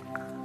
Thank you, Heather.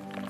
Together.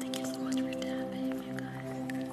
Thank you so much for tapping, you guys. Thank you.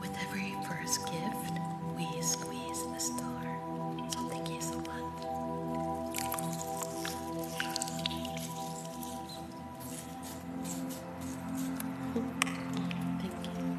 with every first gift, we squeeze the star. thank you so much. Thank you.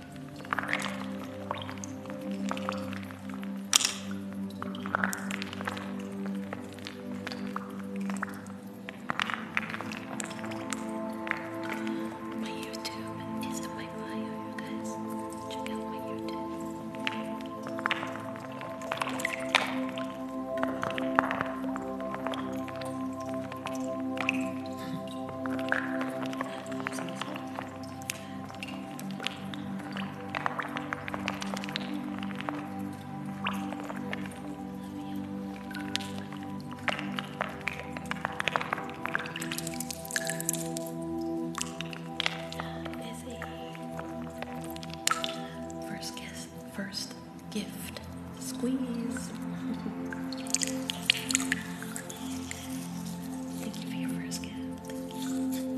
My YouTube is my bio, you guys. Check out my YouTube. First guess, first gift squeeze. Thank you for your first gift. Thank you.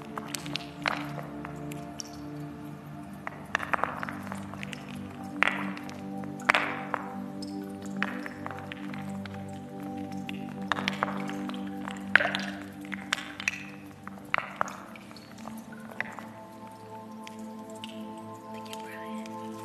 Thank you, Brian.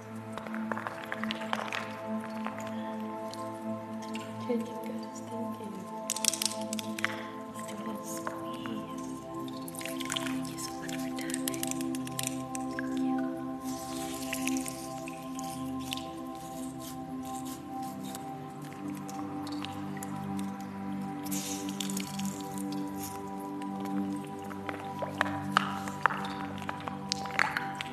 Good, you guys. Thank you. us do a Thank you so much for tapping.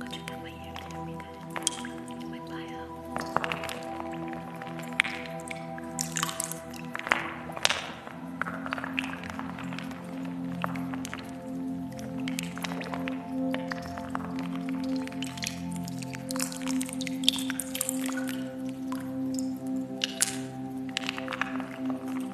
Có chuyện nào mà em theo mình thế? Mình phải không? Hãy subscribe cho kênh Ghiền Mì Gõ Để không bỏ lỡ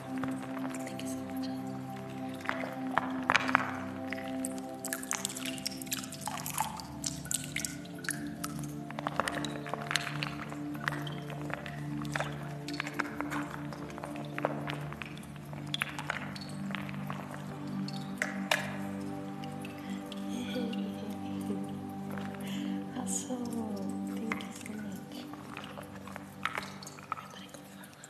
Thank you so much. Passou, thank you so much. Reparei como fala.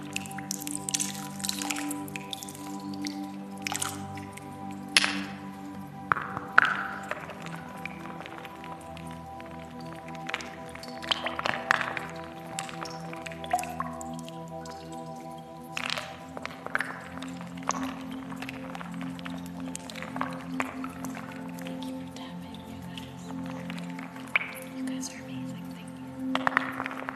Thank you for tapping, you guys. You guys are amazing. Thank you.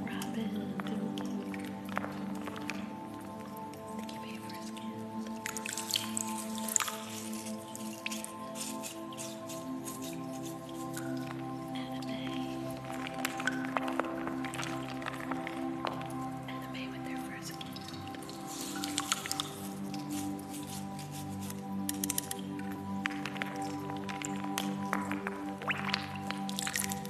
Robin, the paper skins, anime, anime with their first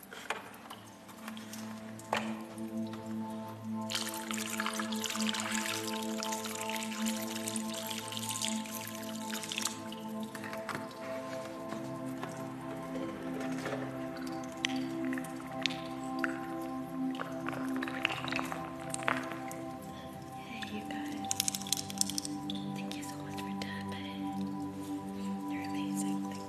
Hey you guys, thank you so much for tapping. You're amazing.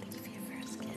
Thank you for your first skin.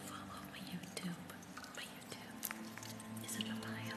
follow my YouTube. My YouTube is in the bio.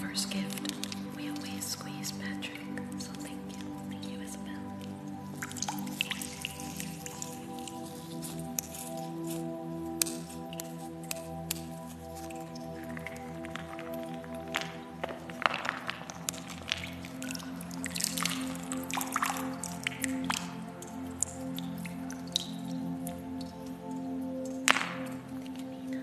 First gift. We always squeeze Patrick. So thank you. Thank you,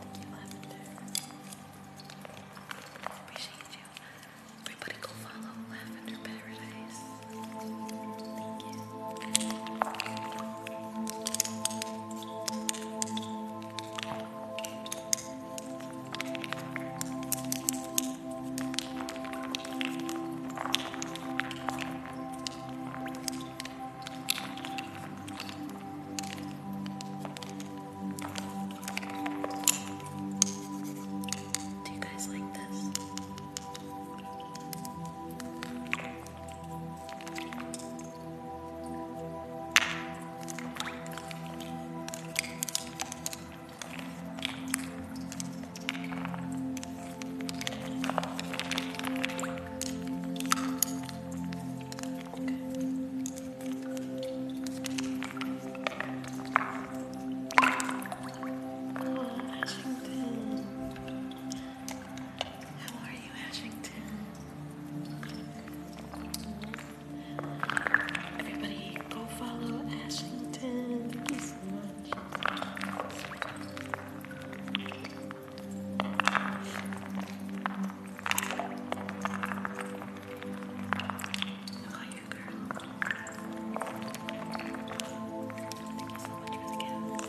Thank you, Lavender. Appreciate you. Everybody go follow Lavender Paradise. Thank you. Do you guys like this? How are you, Ashington? Everybody, go follow Ashington. Thank you so much. Look at you, girl. Thank you so much for the gift.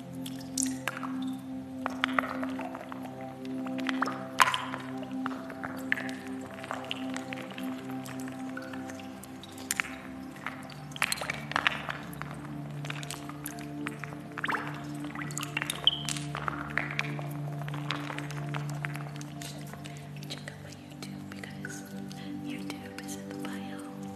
Check out my YouTube because YouTube is in the bio.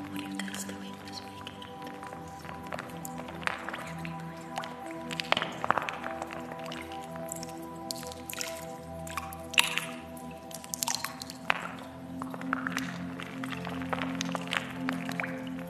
What are you guys doing this weekend?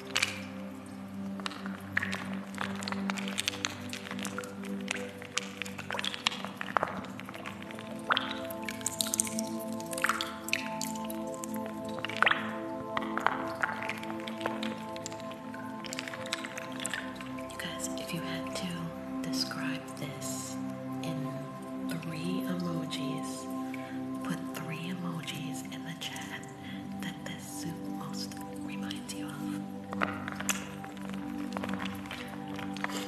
You guys, if you had to describe this in three emojis, put three emojis in the chair that this soup most reminds you of.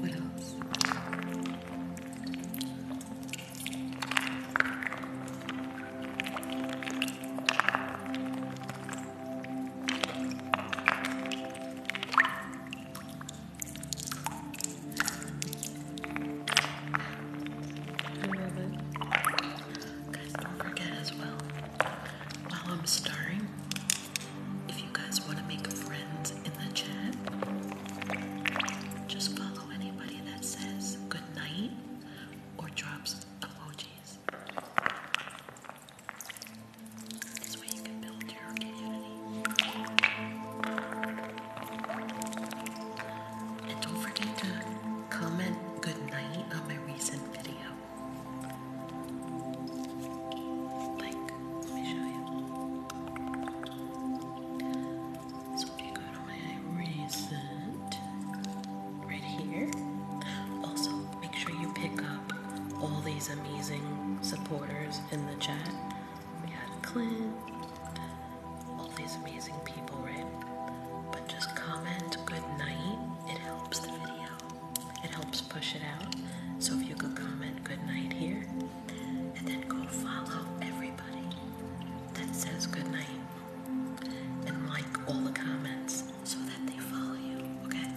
What else? I love it. Guys, don't forget as well, while I'm stirring, if you guys want to make friends in the chat, just follow anybody that says good night or drops emojis. This way you can build your community. And don't forget to comment good night on my recent video. Like, let me show you. So if you go my recent right here, also make sure you pick up all these amazing supporters in the chat. We had Clint, all these amazing people, right? But just comment good night. It helps the video. It helps push it out. So if you could comment good night here, and then go follow everybody that says good night and like all the comments so that they follow you, okay?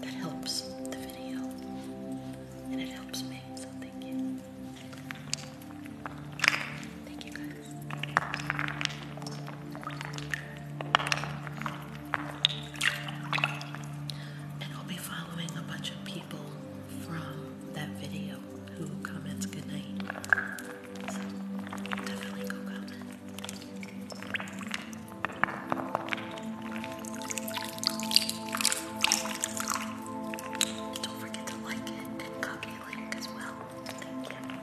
That helps the video and it helps me, so thank you. Thank you guys. And I'll be following a bunch of people from that video who comments good night. definitely go comment. don't forget to like it and copy link as well. Thank you.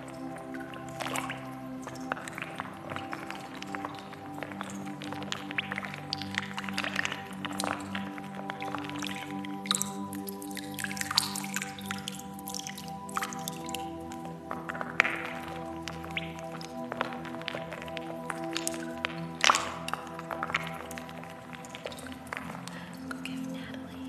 Go give Natalie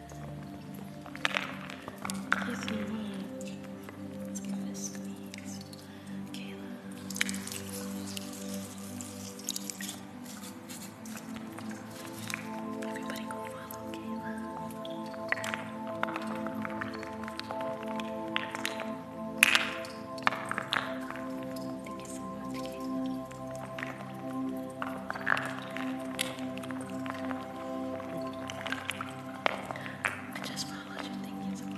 If us a squeeze. Kayla. Everybody go follow Kayla. Thank you so much, Kayla. I just followed you. Thank you so much.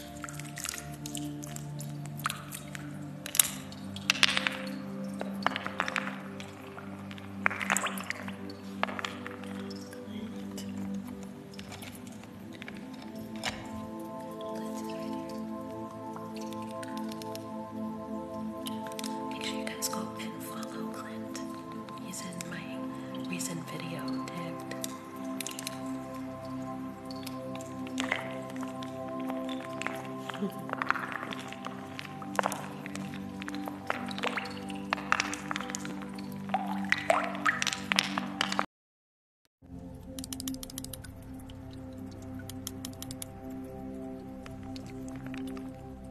Make sure you guys go and follow Clint. He's in my recent video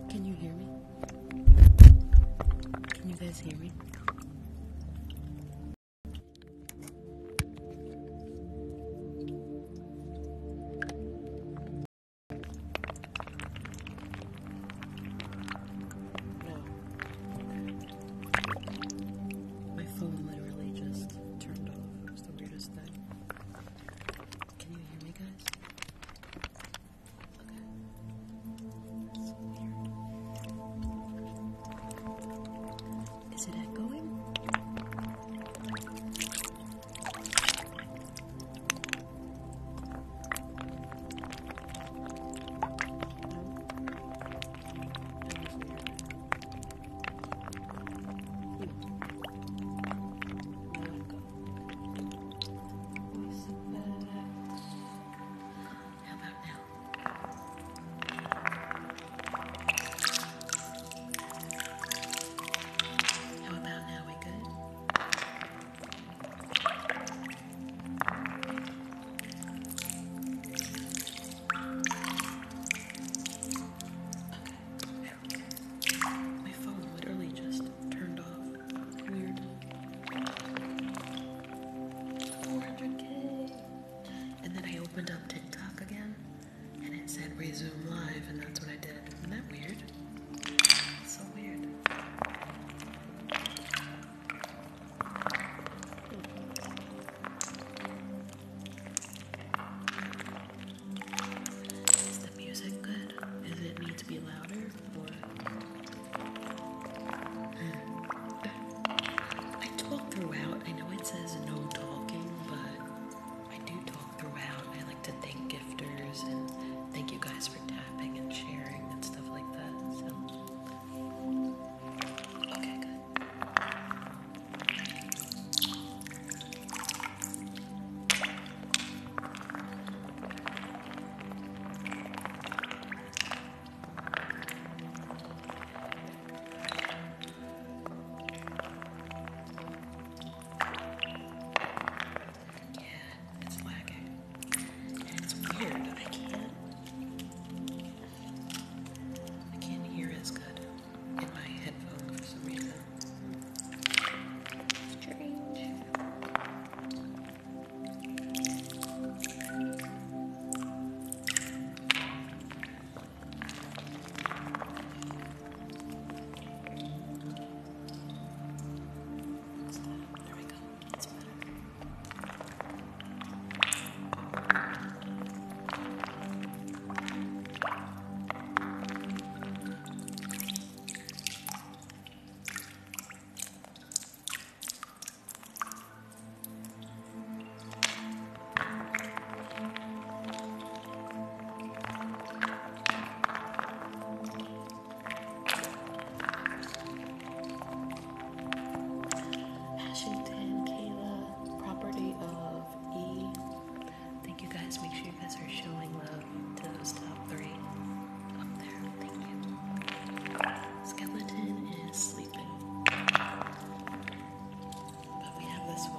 can you hear me? Can you guys hear me? My phone literally just turned off. It was the weirdest thing. Can you hear me, guys? Okay. Is it echoing? How about now? How about now? We good? My phone literally just turned off. Weird. 400k. And then I opened up TikTok again and it said resume live, and that's what I did. Isn't that weird? so weird. Is the music good? Does it need to be louder? Hmm. I talk throughout. I know it says no talking, but I do talk throughout. I like to thank gifters and thank you guys for tapping and sharing and stuff like that. So, okay, good. Yeah, it's lagging. It's weird. I can't. I can't hear as good in my headphones for some reason. Strange. So, there we go. It's better. Ashington, Kayla, property of E. Thank you guys. Make sure you guys are showing love to those top three up there. Thank you. Skeleton is sleeping. But we have this one.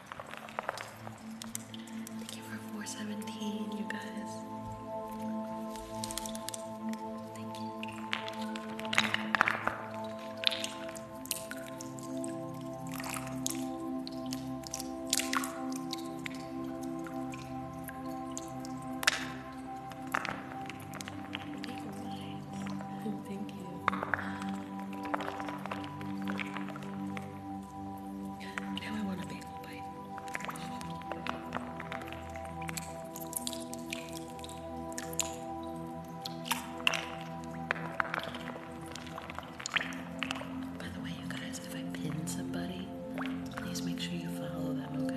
Thank you for 417, you guys. Thank you. Thank you. Now I want to be by the way, you guys, if I pin somebody, please make sure you follow them, okay?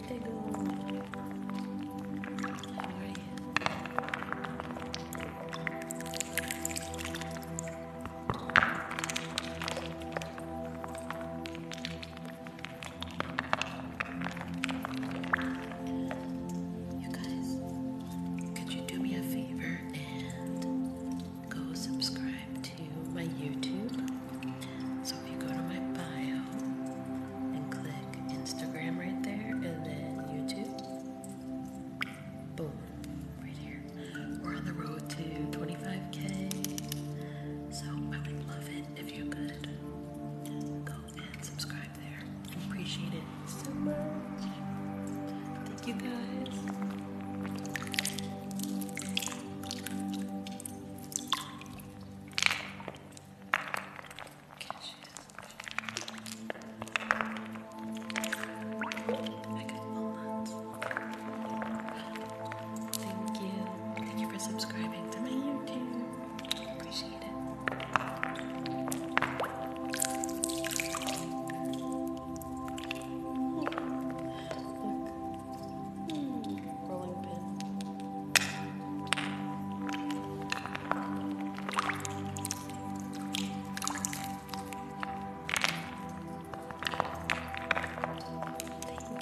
think you? You guys, could you do me a favor and go subscribe to my YouTube? So if you go to my bio and click Instagram right there and then YouTube, boom, right here. We're on the road to 25k. So I would love it if you could go and subscribe there. appreciate it so much. Thank you guys. Thank you. Thank you for subscribing to my YouTube. Appreciate it. Look rolling pin. Thank you.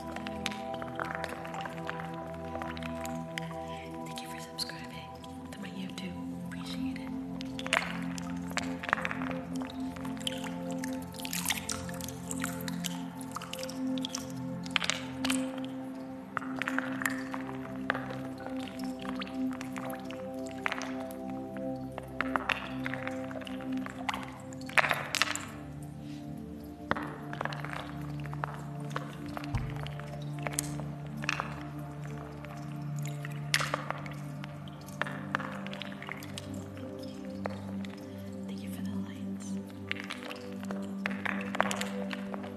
Thank you for subscribing to my YouTube. Appreciate it. Thank you for the lights.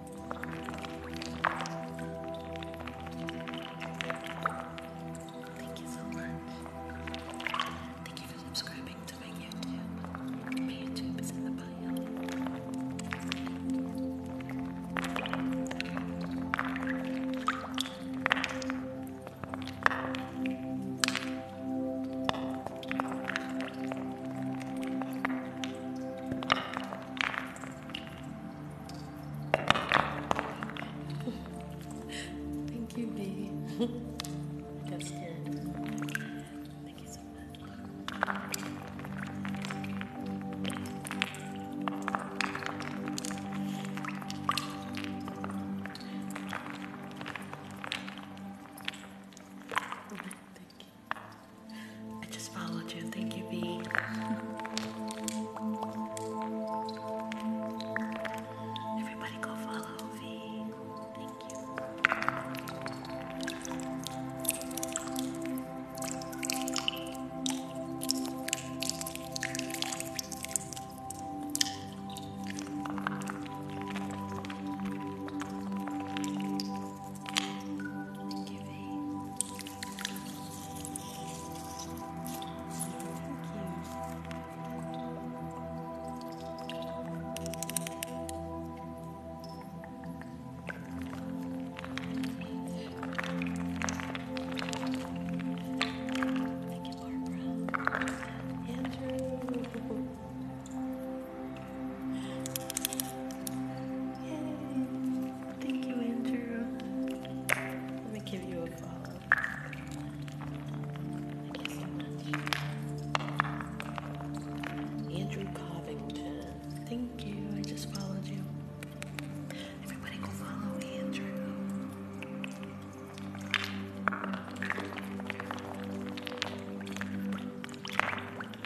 Thank you so much. Thank you for subscribing to my YouTube. My YouTube is in the bio. Thank you, baby. That's good. Thank you so much. Oh, I just followed you. Thank you, B. Everybody go follow V. Thank you giving. Thank you, Barbara. Andrew. Yay. Thank you, Andrew. Let me give you a follow. Thank you so much. Andrew Covington. Thank you. I just followed you. Everybody go follow Andrew. Thank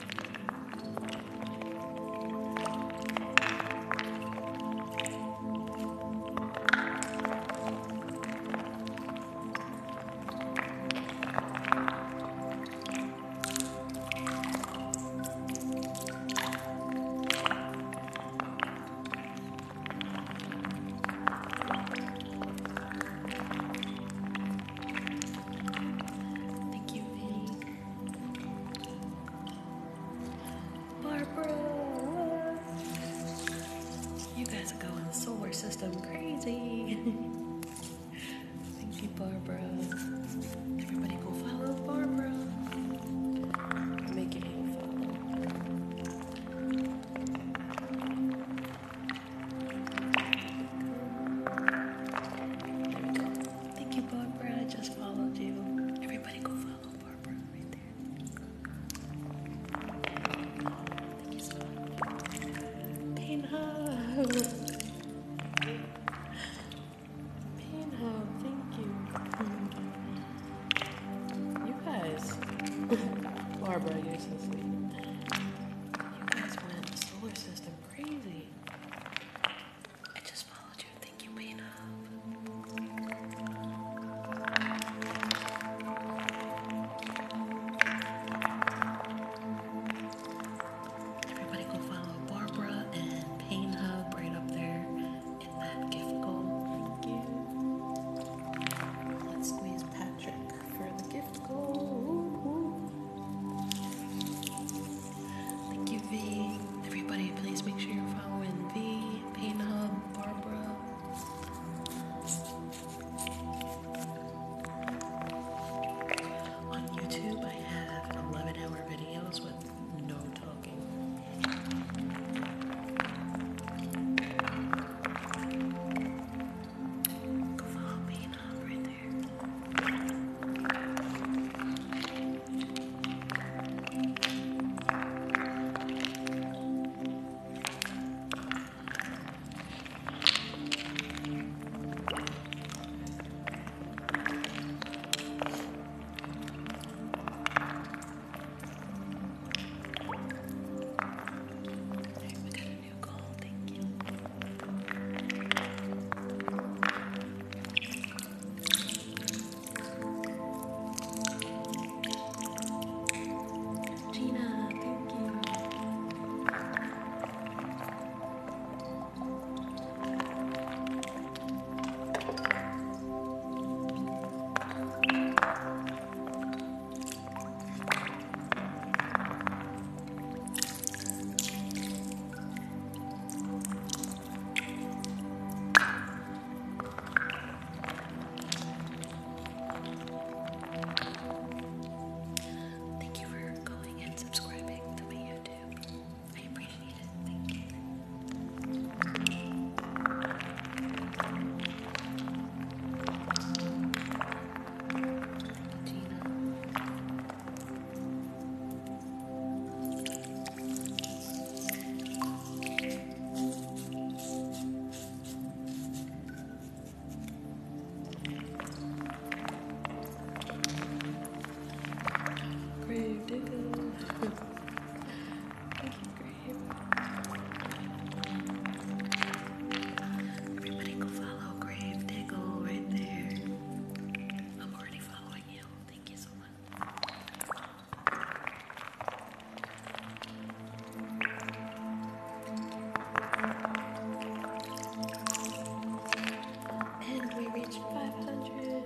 you, Vinny. Barbara. You guys are going solar system crazy. Thank you, Barbara. Everybody go follow Barbara. Make it beautiful. Thank you, Barbara. I just followed you. Everybody go follow Barbara right there. Thank you thank you. You guys. Barbara, you're so sweet. You guys went solar system crazy. I just followed you. Thank you, Pina. Everybody go follow Barbara and Pain Hub right up there in that gift goal. Thank you. Let's squeeze Patrick for the gift goal. Thank you, V. Everybody, please make sure you're following V, Pain Hub, Barbara. On YouTube, I have 11 hour videos with no talking. Come on, Hub, right there. Alright, we got a new goal, thank you. Gina, thank you. Thank you for going and subscribing to my YouTube. I appreciate it. Thank you. Everybody go follow Grave right there. I'm already following you. Thank you so much. And we reached 500.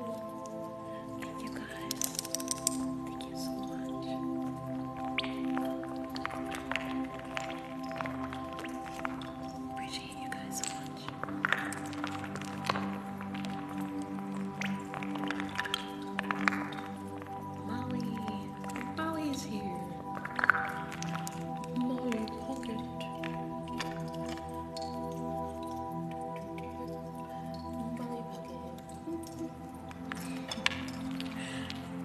Thank you guys. Thank you so much. Appreciate Molly, Molly's here. Molly Pocket. Molly Pocket.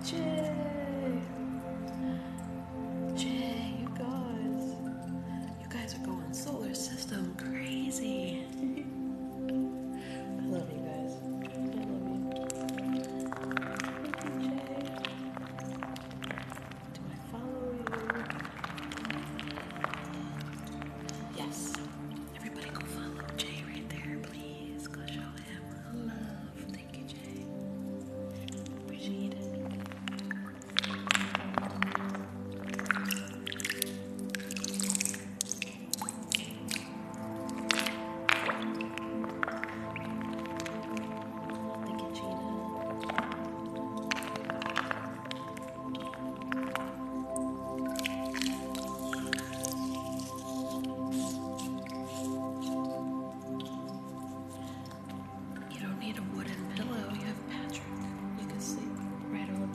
Jay. Jay, you guys. You guys are going solar system crazy. I love you guys. I love you. Thank you, Jay. Do I follow you? Yes. Everybody go follow Jay right there, please. Go show him love. Thank you, Jay. Appreciate it. You don't need a wooden pillow. You have Patrick. You can sleep right on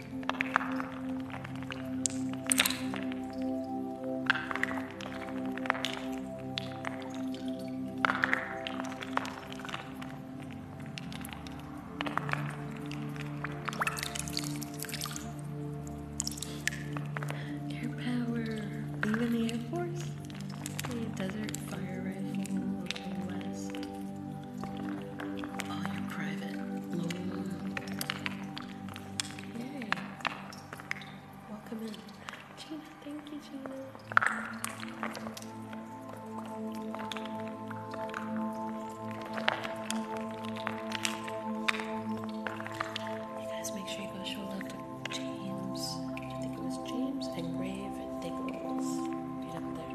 Air power. Are you in the Air Force? desert fire rifle, looking west. Welcome in. Gina, thank you, Gina. You guys make sure you go show love to James. I think it was James and Rave and Diggles. Get up there.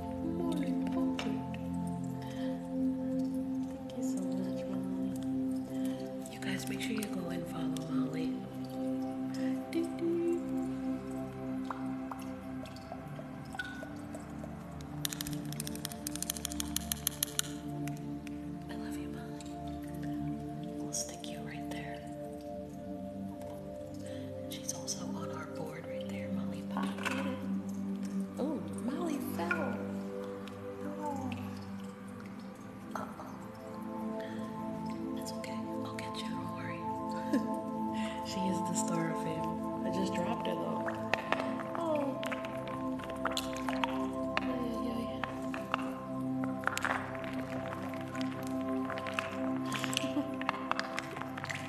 more important. Thank you so much, Molly. You guys make sure you go and follow Molly. I love you, Molly. We'll stick you right there. She's also on our board right there, Molly Pop. Oh, Molly fell. Oh. That's okay. I'll get you. Don't worry. she is the star of fame. I just dropped her though. Oh.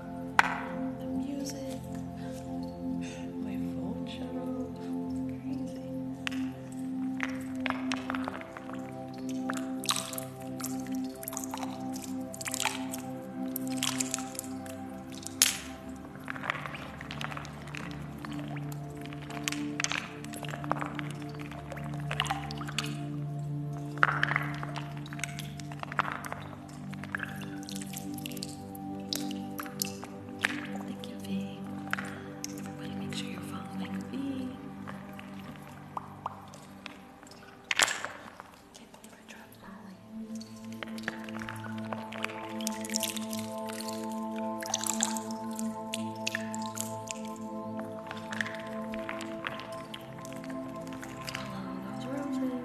the music, my phone shut off. crazy. Thank you, V. Everybody make sure you're following V. Can't believe I dropped Molly. Follow those roses.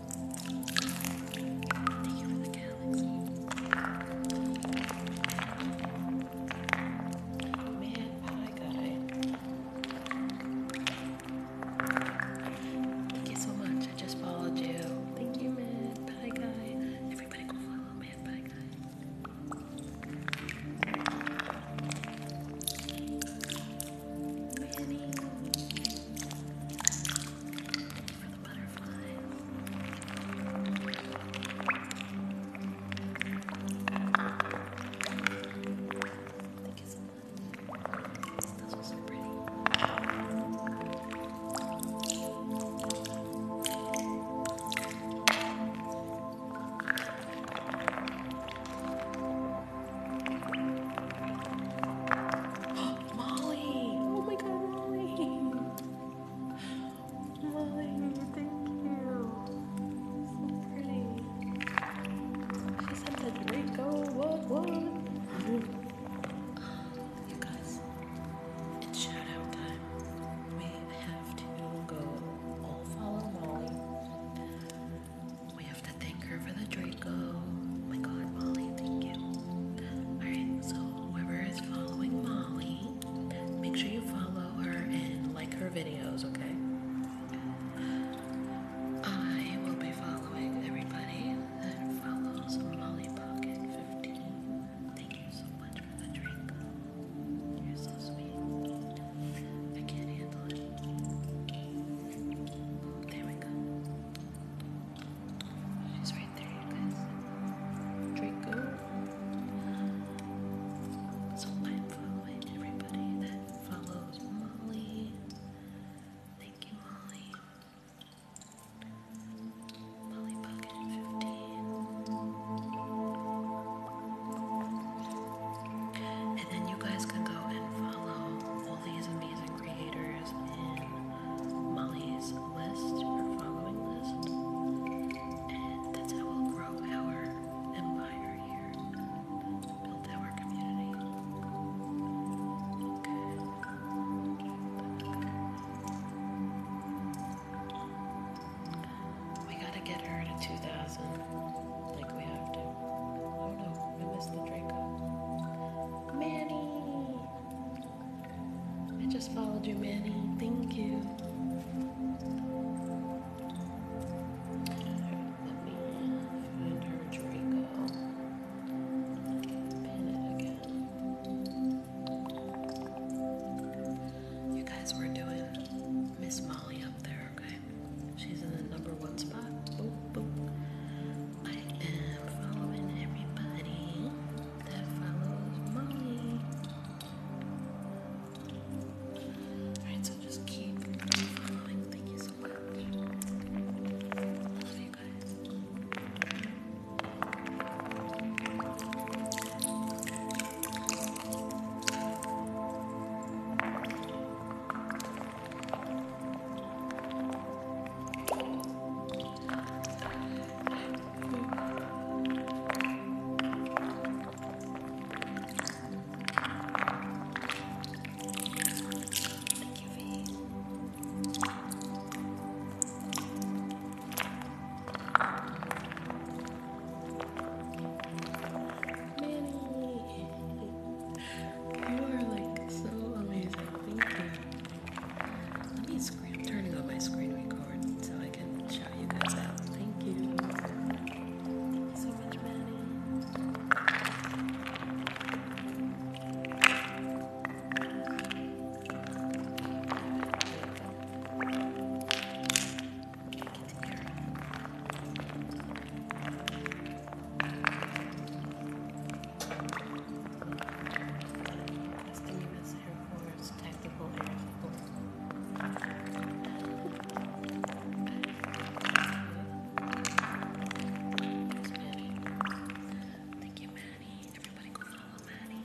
Thank you Man, pie guy. Thank you so much. I just followed you. Thank you, man. Pie guy. Everybody go follow man pie guy the butterflies. Thank you so much. Those were so pretty. Molly. Oh my god, Molly. Molly, thank you. So pretty. She sent a Draco. What, what? You guys, it's shout time. We have to go all follow Molly. We have to thank her for the Draco go. Oh my god, Molly, thank you. Alright, so whoever is following Molly, make sure you follow her and like her videos, okay? I will be following everybody that follows Molly Pocket 15. Thank you so much for the drink. You're so sweet. I can't handle it. There we go. She's right there, you guys. Draco. So i everybody that follows Molly. Thank you, Molly. Molly 15. And then you guys can go and follow all these amazing creators in um, Molly's list following list, and that's how we'll grow our empire here, build our community. We gotta get her to 2,000, like we have to. Oh no, I missed the Draco. Manny! I just followed you, Manny. Thank you. Let me find her Draco. Pin it again. You guys were doing Miss Molly up there, okay? She's in the number one spot. Boop, boop. I am following everybody that follows Molly. Alright, so just keep following. Thank you so much. love you guys. Manny, you are like so amazing. Thank you. Let me screen. I'm turning on my screen record so I can shout you guys out. Thank you so much, Manny as the U.S. Air Force Tactical Air Thank you, Maddie. Everybody go follow Maddie.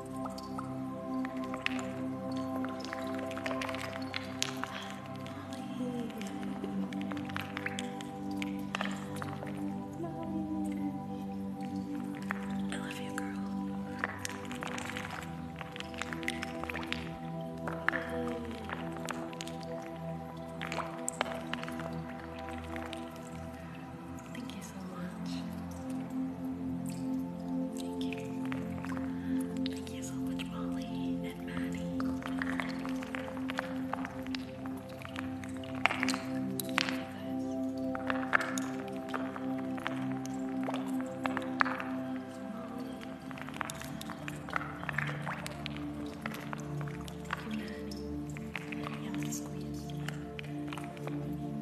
I love you, girl. Thank you so much. Thank you. Thank you so much, Molly and Maddie.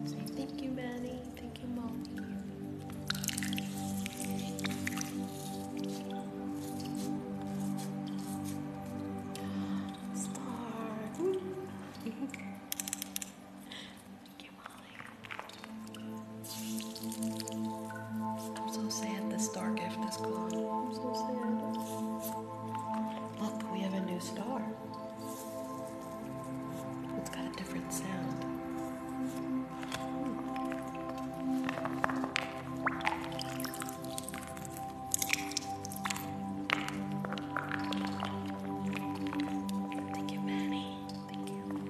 Say thank you, Manny. Thank you, Molly. Star. Thank you, Molly. I'm so sad this star gift is gone. I'm so sad. Look, we have a new star. It's got a different sound. Thank you, Manny. Thank you.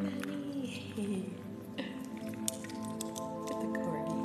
Manny. With the corgi.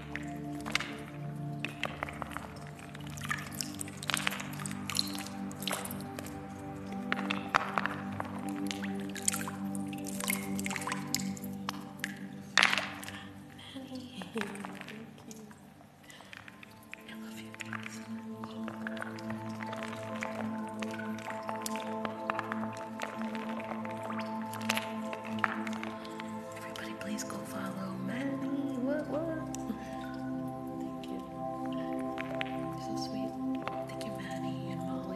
Manny, thank you. I love you guys. Oh. Everybody, please go follow Maddie. What, what? Thank you. so sweet. Thank you, Maddie and Molly.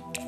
Jasper.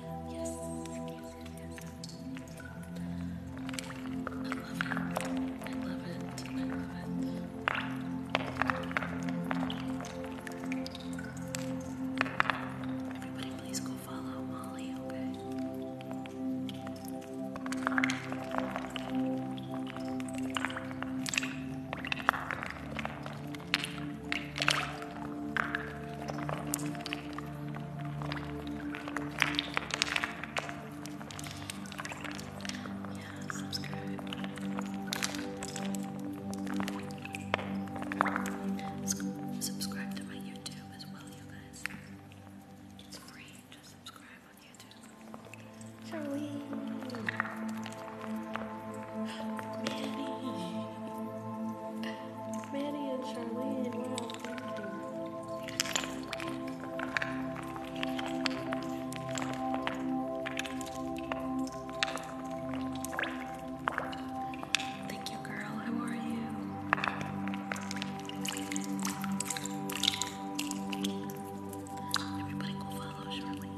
Yes. I love it. I love it. I love it. Everybody, please go follow Molly, okay? Yeah, subscribe. Subscribe to my YouTube as well, you guys. It's free to subscribe on YouTube. Shall we? Manny and Charlene, wow, thank you. Thank you, girl. How are you? Everybody go follow Charlene.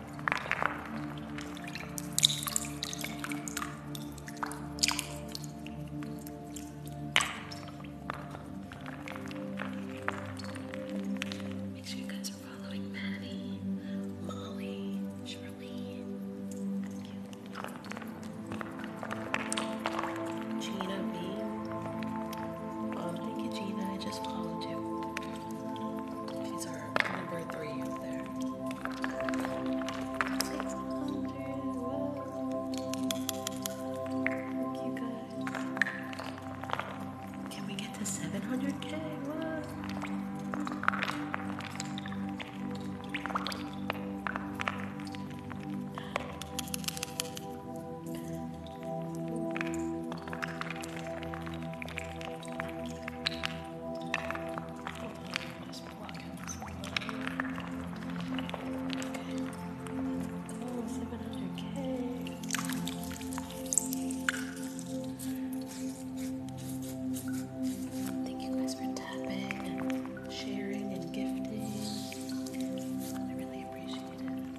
Make sure you guys are following Maddie, Molly, Shirley, Gina B. Oh, thank you, Gina. I just followed you. These are number three over there. Look, you guys. Can we get to 700k? Whoa. Thank you guys for tapping, and sharing, and gifting. I really appreciate it.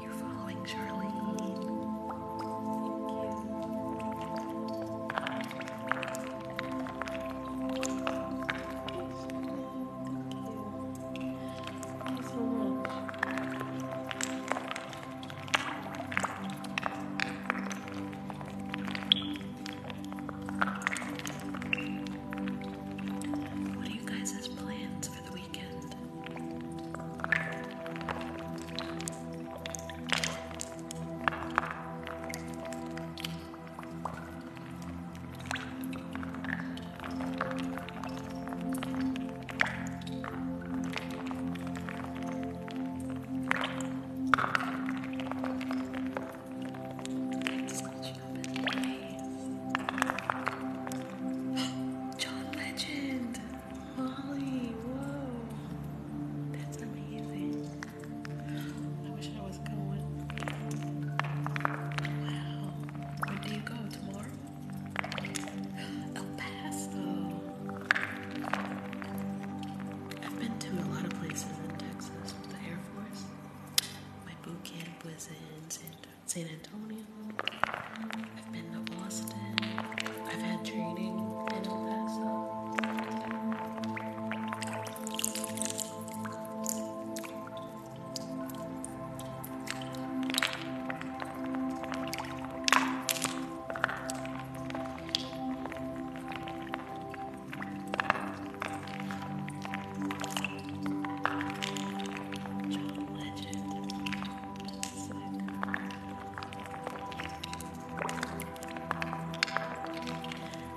You're following Charlie. Thank you. Thank you so much. What are you guys' plans for the weekend? weekend. John Legend. Molly, whoa. That's amazing. I wish I was going. Wow. Where do you go tomorrow? El Paso. I've been to a lot of places in Texas with the Air Force. My boot camp was in San Antonio. I've been to Boston. I've had training in El Paso. John Legend.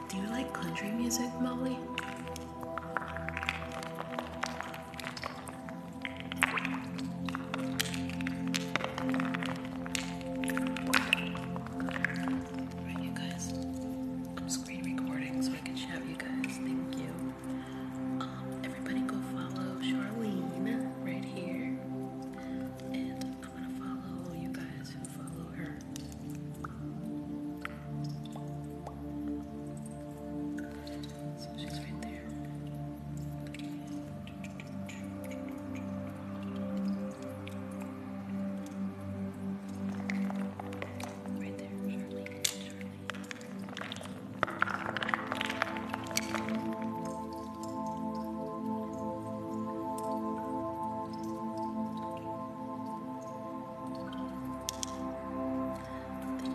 Do you like country music, Molly? Alright you guys. I'm screen recording so I can shout you guys. Thank you. Um, everybody go follow Charlene right here. And I'm gonna follow you guys who follow her. So she's right there. Right there, Charlene. Thank you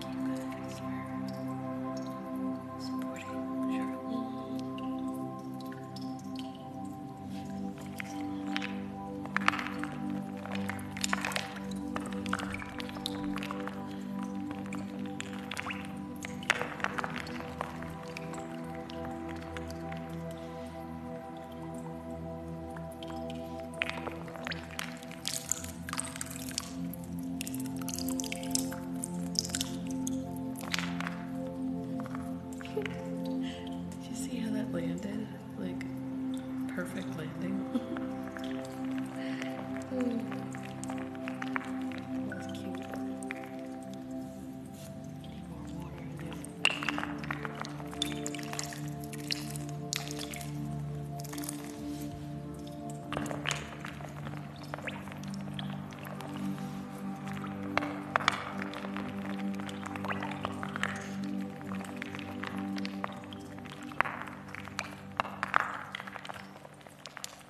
guys for supporting Charlie. Did you see how that landed? Like, perfect landing. Hmm. That was cute. Need more water in there.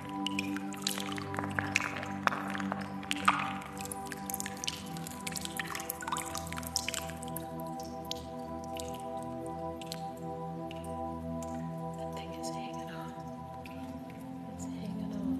I think it's hanging on. It's hanging on.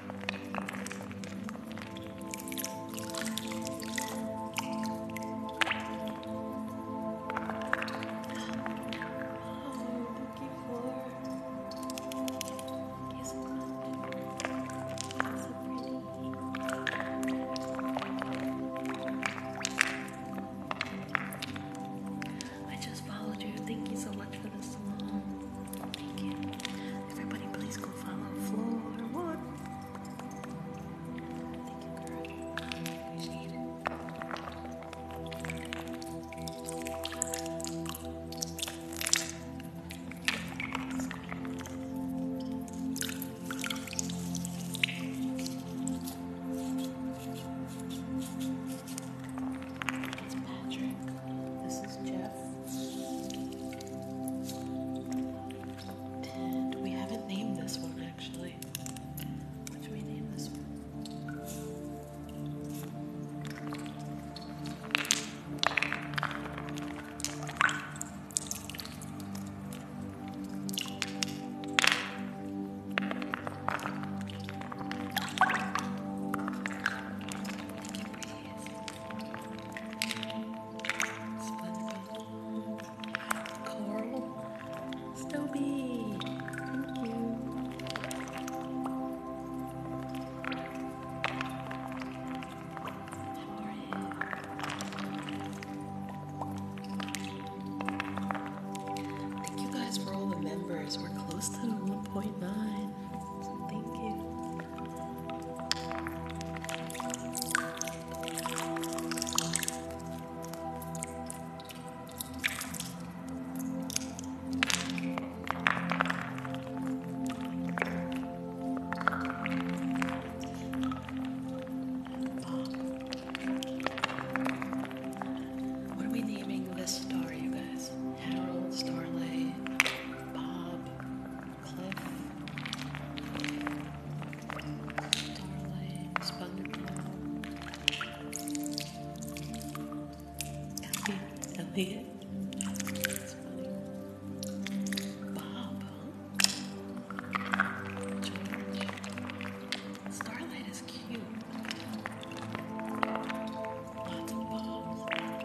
I just followed you. Thank you so much for this song. Thank you. Everybody, please go follow Floor One. Thank you, girl. Appreciate it. It's Patrick. This is Jeff. we haven't named this one actually. What should we name this one? SpongeBob, Coral, Thank you. How are you? Thank you guys for all the members. We're close to 1.9. So thank you. What are we naming this star, you guys? Harold, Starlay, Bob, Cliff, Starlight, SpongeBob, Elliot, Bob, George, Starlight is cute, lots of Bobs.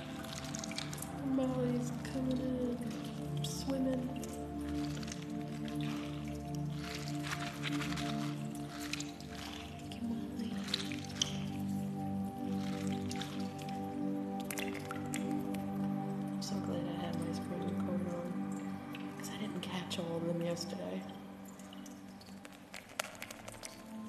Molly's coming in, swimming. Thank you, Molly. I'm so glad I had my screen coat on because I didn't catch all of them yesterday.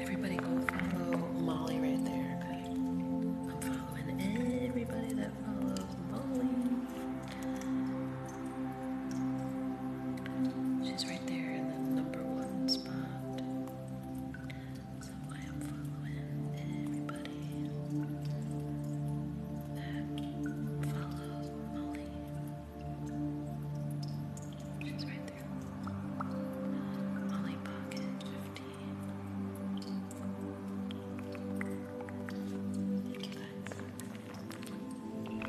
Everybody go follow Molly right there, okay? I'm following everybody that follows Molly. She's right there in the number ones spot. So I am following everybody that follows Molly. She's right there. Molly Pocket 15. Thank you guys.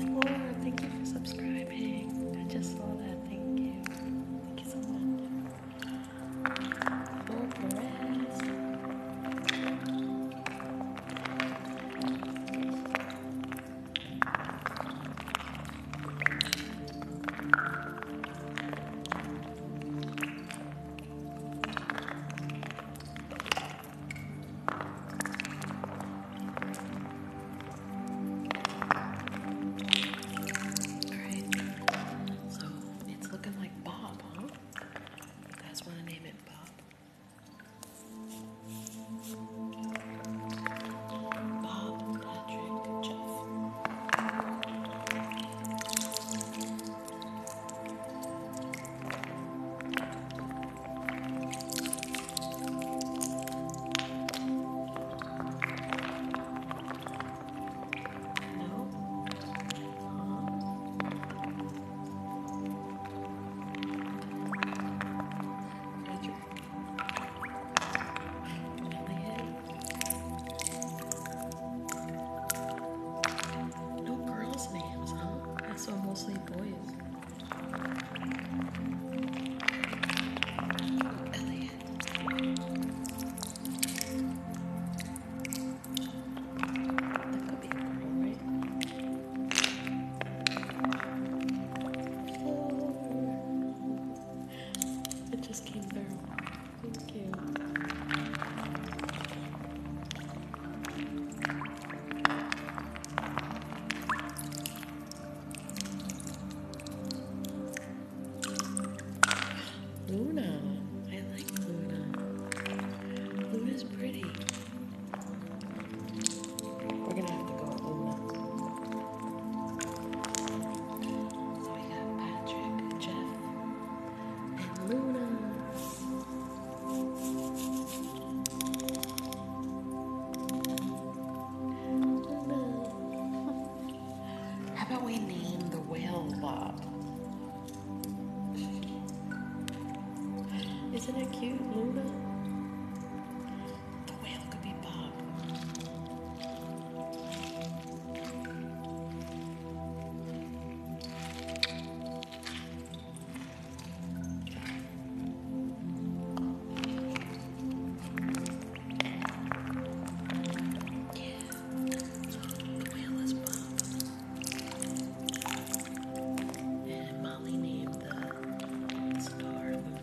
Flora, thank you for subscribing. I just saw that. Thank you. Thank you so much. Flora Alright, so it's looking like Bob, huh? You guys want to name it Bob? Bob Patrick Jeff. No. Um, no girls' names, huh? I mostly boys. Elliot. That could be a girl, right? It just came through. Thank you. Luna. I like Luna. Luna's pretty. We're gonna have to go all So we got Patrick, Jeff, and Luna. Luna. How about we name the whale Bob? Isn't it cute, Luna? The whale could be Bob. Yeah, the whale is Bob. And Molly named the star movement.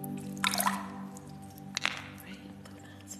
Right, donuts.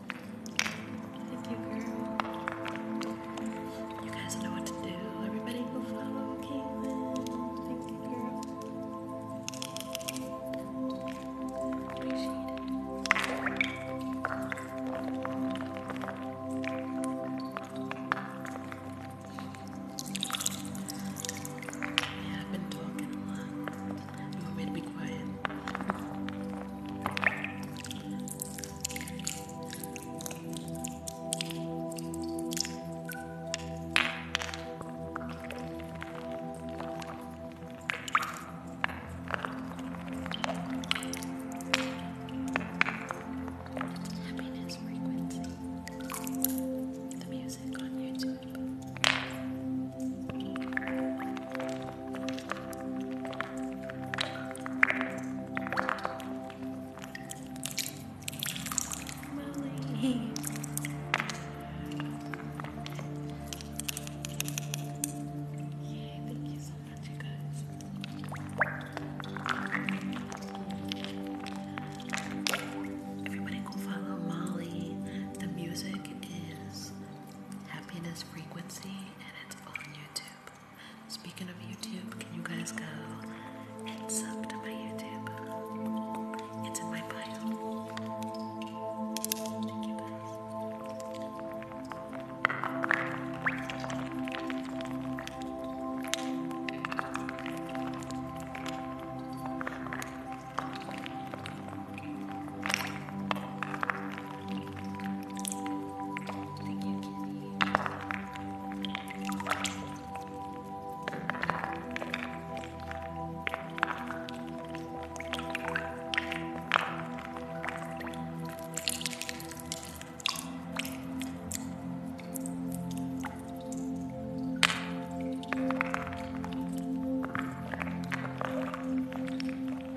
Thank you, girl. You guys know what to do. Everybody follow Caitlin. Thank you, girl. Appreciate it. Yeah, I've been talking a lot. You want me be quiet? Happiness frequency. The music on YouTube. Molly. Yeah, thank you so much, you guys. Everybody go follow Molly. The music is Happiness Frequency, and it's on YouTube. Speaking of YouTube, can you guys go and sub to my YouTube? It's in my bio. Thank you, Kitty.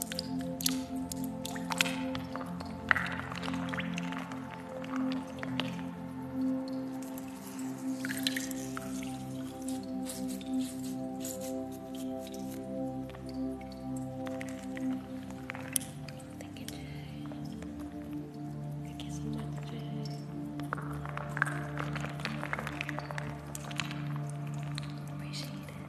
Thank you, Jay. Thank you so much, Jay. Appreciate it.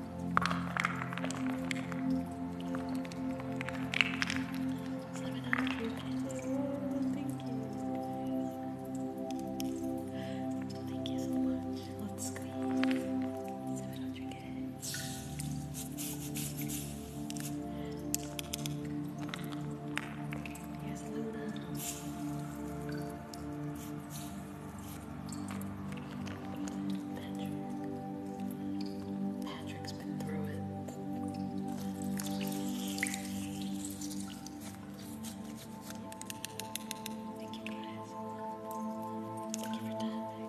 Seven hundred minutes. thank you. Thank you so much. Let's squeeze. Seven hundred minutes. Here's Patrick. has been through it. Thank you guys. Thank you for diving.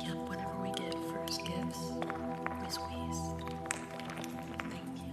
Yep, whenever we get first gifts, we squeeze. Thank you.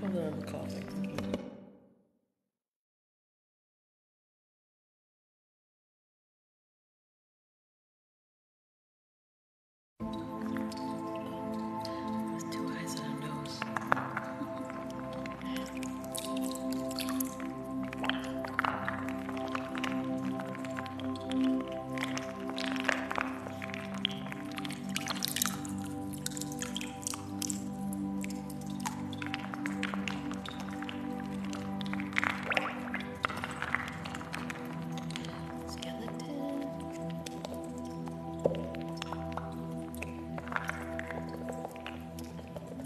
Hold on, I'm coughing. With two eyes and a nose. Skeleton.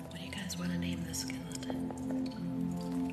What do you guys want to name this skeleton?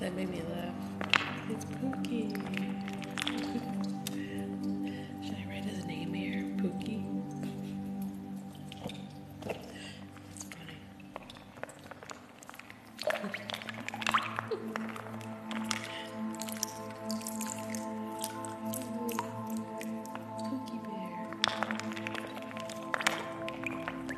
That made me laugh. It's Pookie. Should I write his name here? Pookie? Pookie Bear.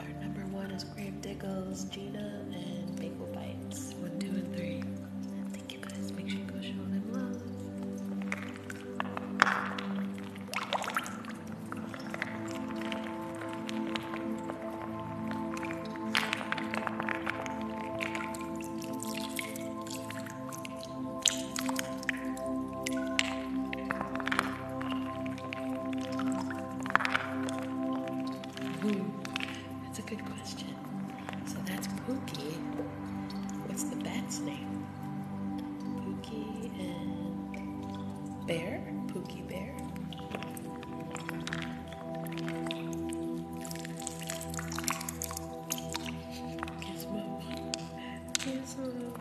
Our number one is Grave Diggles, Gina, and Bagel Bites. One, two, and three. Thank you guys. Make sure you go show them love. Hmm, that's a good question. So that's Pookie. What's the bat's name? Pookie and Bear? Pookie Bear. Gizmo. Gizmo.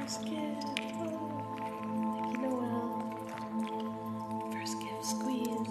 First gift. thank you, Noel. First gift squeeze.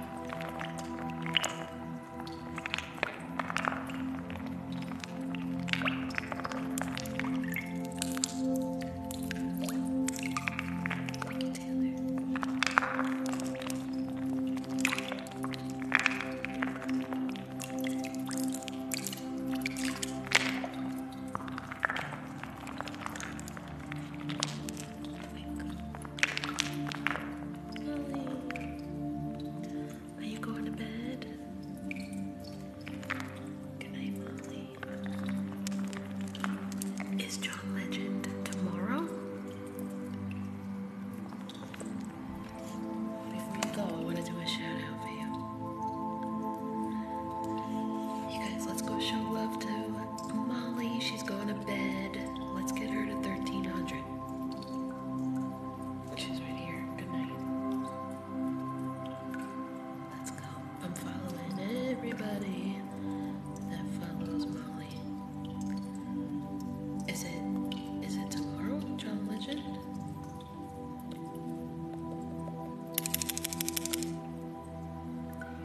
Taylor. Are you going to bed? Good Molly. Is John Legend tomorrow? Before you go, I want to do a shout for you. You guys, let's go show love to Molly, she's going to bed. Let's get her to 1300. She's right here. Good night. Let's go. I'm following everybody that follows Molly. Is it is it tomorrow, John Legend? There you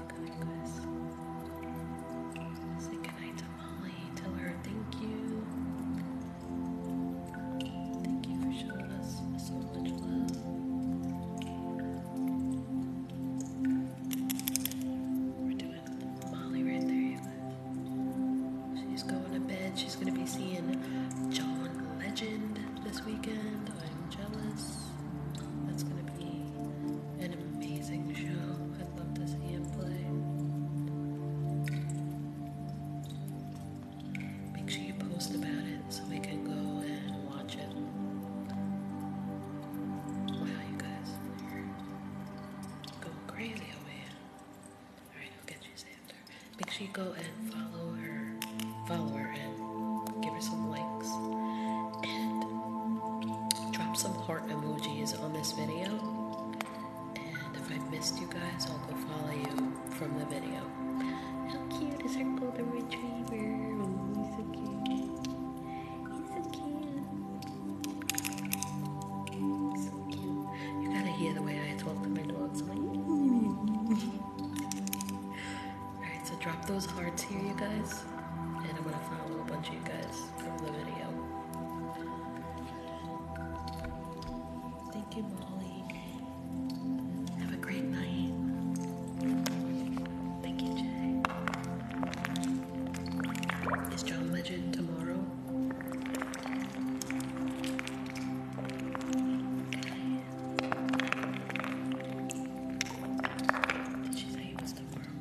go, you guys. Say goodnight to Molly, tell her thank you. Thank you for showing us so much love. We're doing Molly right there. She's going to bed. She's going to be seeing John Legend this weekend. I'm jealous. That's going to be an amazing show love to see him play. Make sure you post about it so we can go and watch it. Wow, you guys, are going crazy over here. Alright, I'll get you, Sandra. Make sure you go and follow her, follow her, and give her some likes. And drop some heart emojis guys on this video. And if I've missed you guys, I'll go follow you from the video. How cute is our golden retriever? Oh, he's so cute. He's so cute. You gotta hear the way I talk to my dogs. Alright, so drop those hearts here, you guys. And I'm gonna follow a bunch of you guys. Thank you, Molly. Have a great night. Thank you, Jay. Is John Legend tomorrow? Did she say it was tomorrow?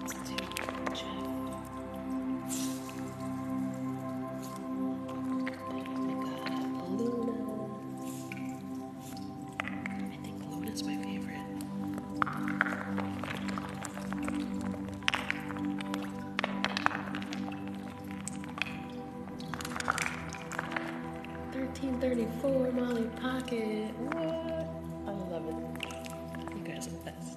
Let's do Jeff. Then we Luna. I my favorite. Thirteen thirty four Molly Pocket. I love it. You guys are the best.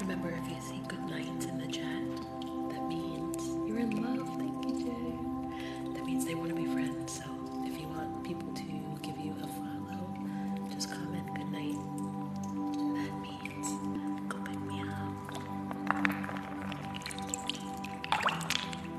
Remember, if you say good night in the chat, that means you're in love. Thank you, Jay. That means they want to be friends. So if you want people to give you a follow, just comment good night. That means go pick me up.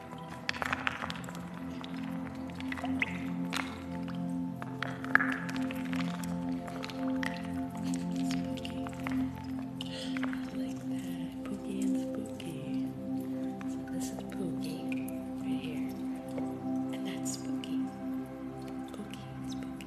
Spooky. I like that. Pookie and spooky. So this is Pookie right here. And that's spooky. Spooky, spooky, spooky.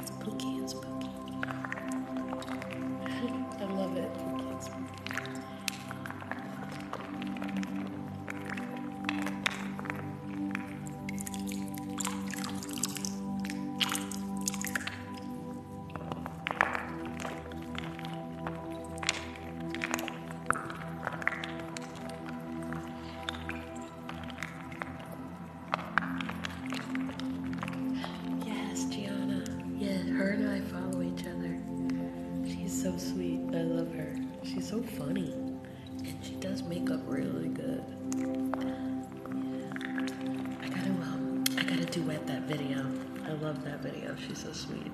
It's Spooky and spooky. I love it. Yes, Gianna. Yeah, her and I follow each other. She's so sweet. I love her. She's so funny. And she does makeup really good. I gotta um I gotta duet that video. I love that video. She's so sweet.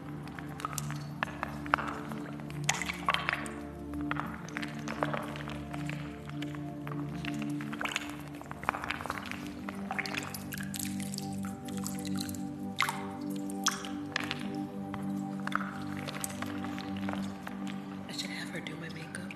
I should have her do my makeup.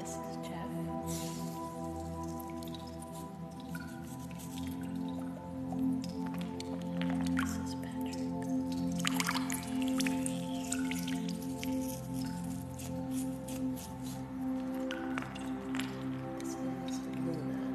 This is Jeff. This is Patrick. This is Luna.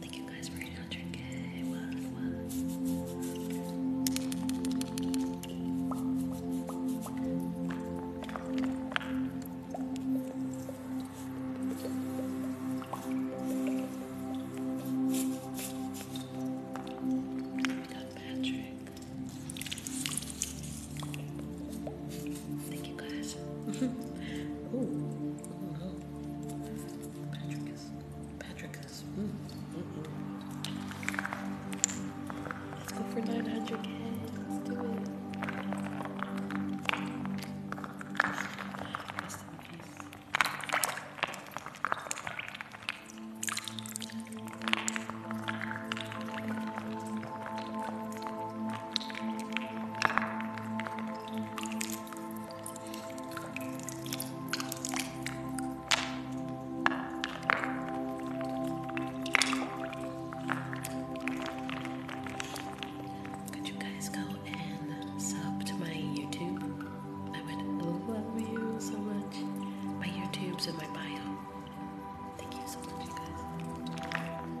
Thank you guys for 800k. What, what? Patrick. Thank you guys. Patrick is. Patrick is. Mm, mm, mm. Let's go for 900k. Let's do it. Could you guys go and sub to my YouTube? I would love you so much. My YouTube's in my bio. Thank you so much, guys.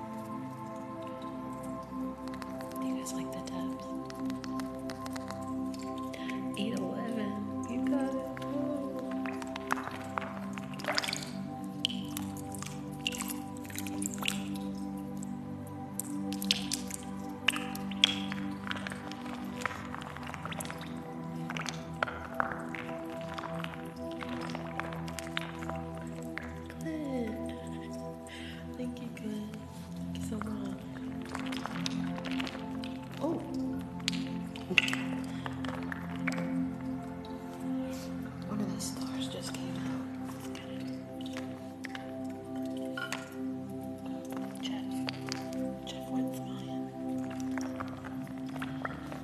you guys like the tabs? 811, you got it. Glenn. Thank you, Glenn. Thank you so much. Oh. of the stars just came out. Jeff. Jeff went flying.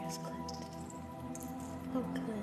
Here's Clint. Oh, Clint.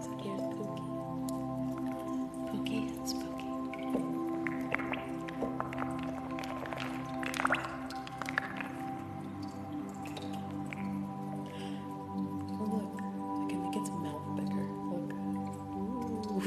so here's Pookie. and Spooky. Oh, look, I can make its mouth bigger. Look.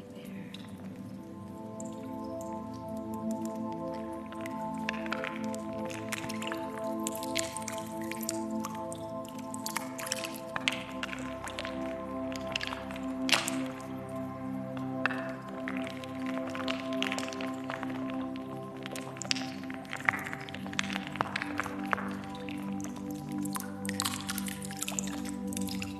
standing there.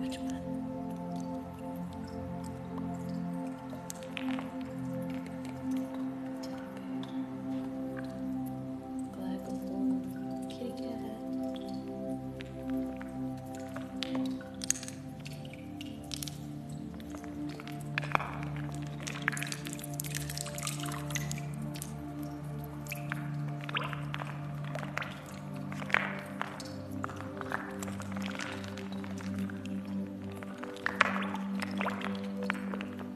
Which one? Black little kitty cat.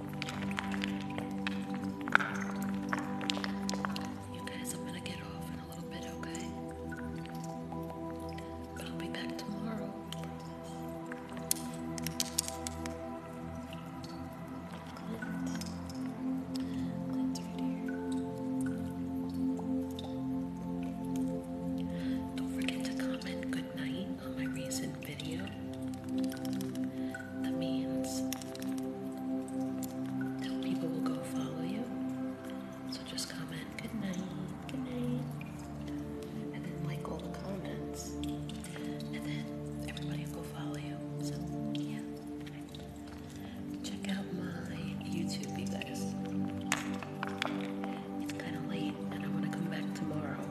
You guys, I'm gonna get off in a little bit, okay? But I'll be back tomorrow. Don't forget to comment good night on my recent video the means. People will go follow you. So just comment, good night, good night. And then like all the comments. And then everybody will follow you. So yeah. Check out my YouTube, you guys. It's kind of late and I want to come back tomorrow.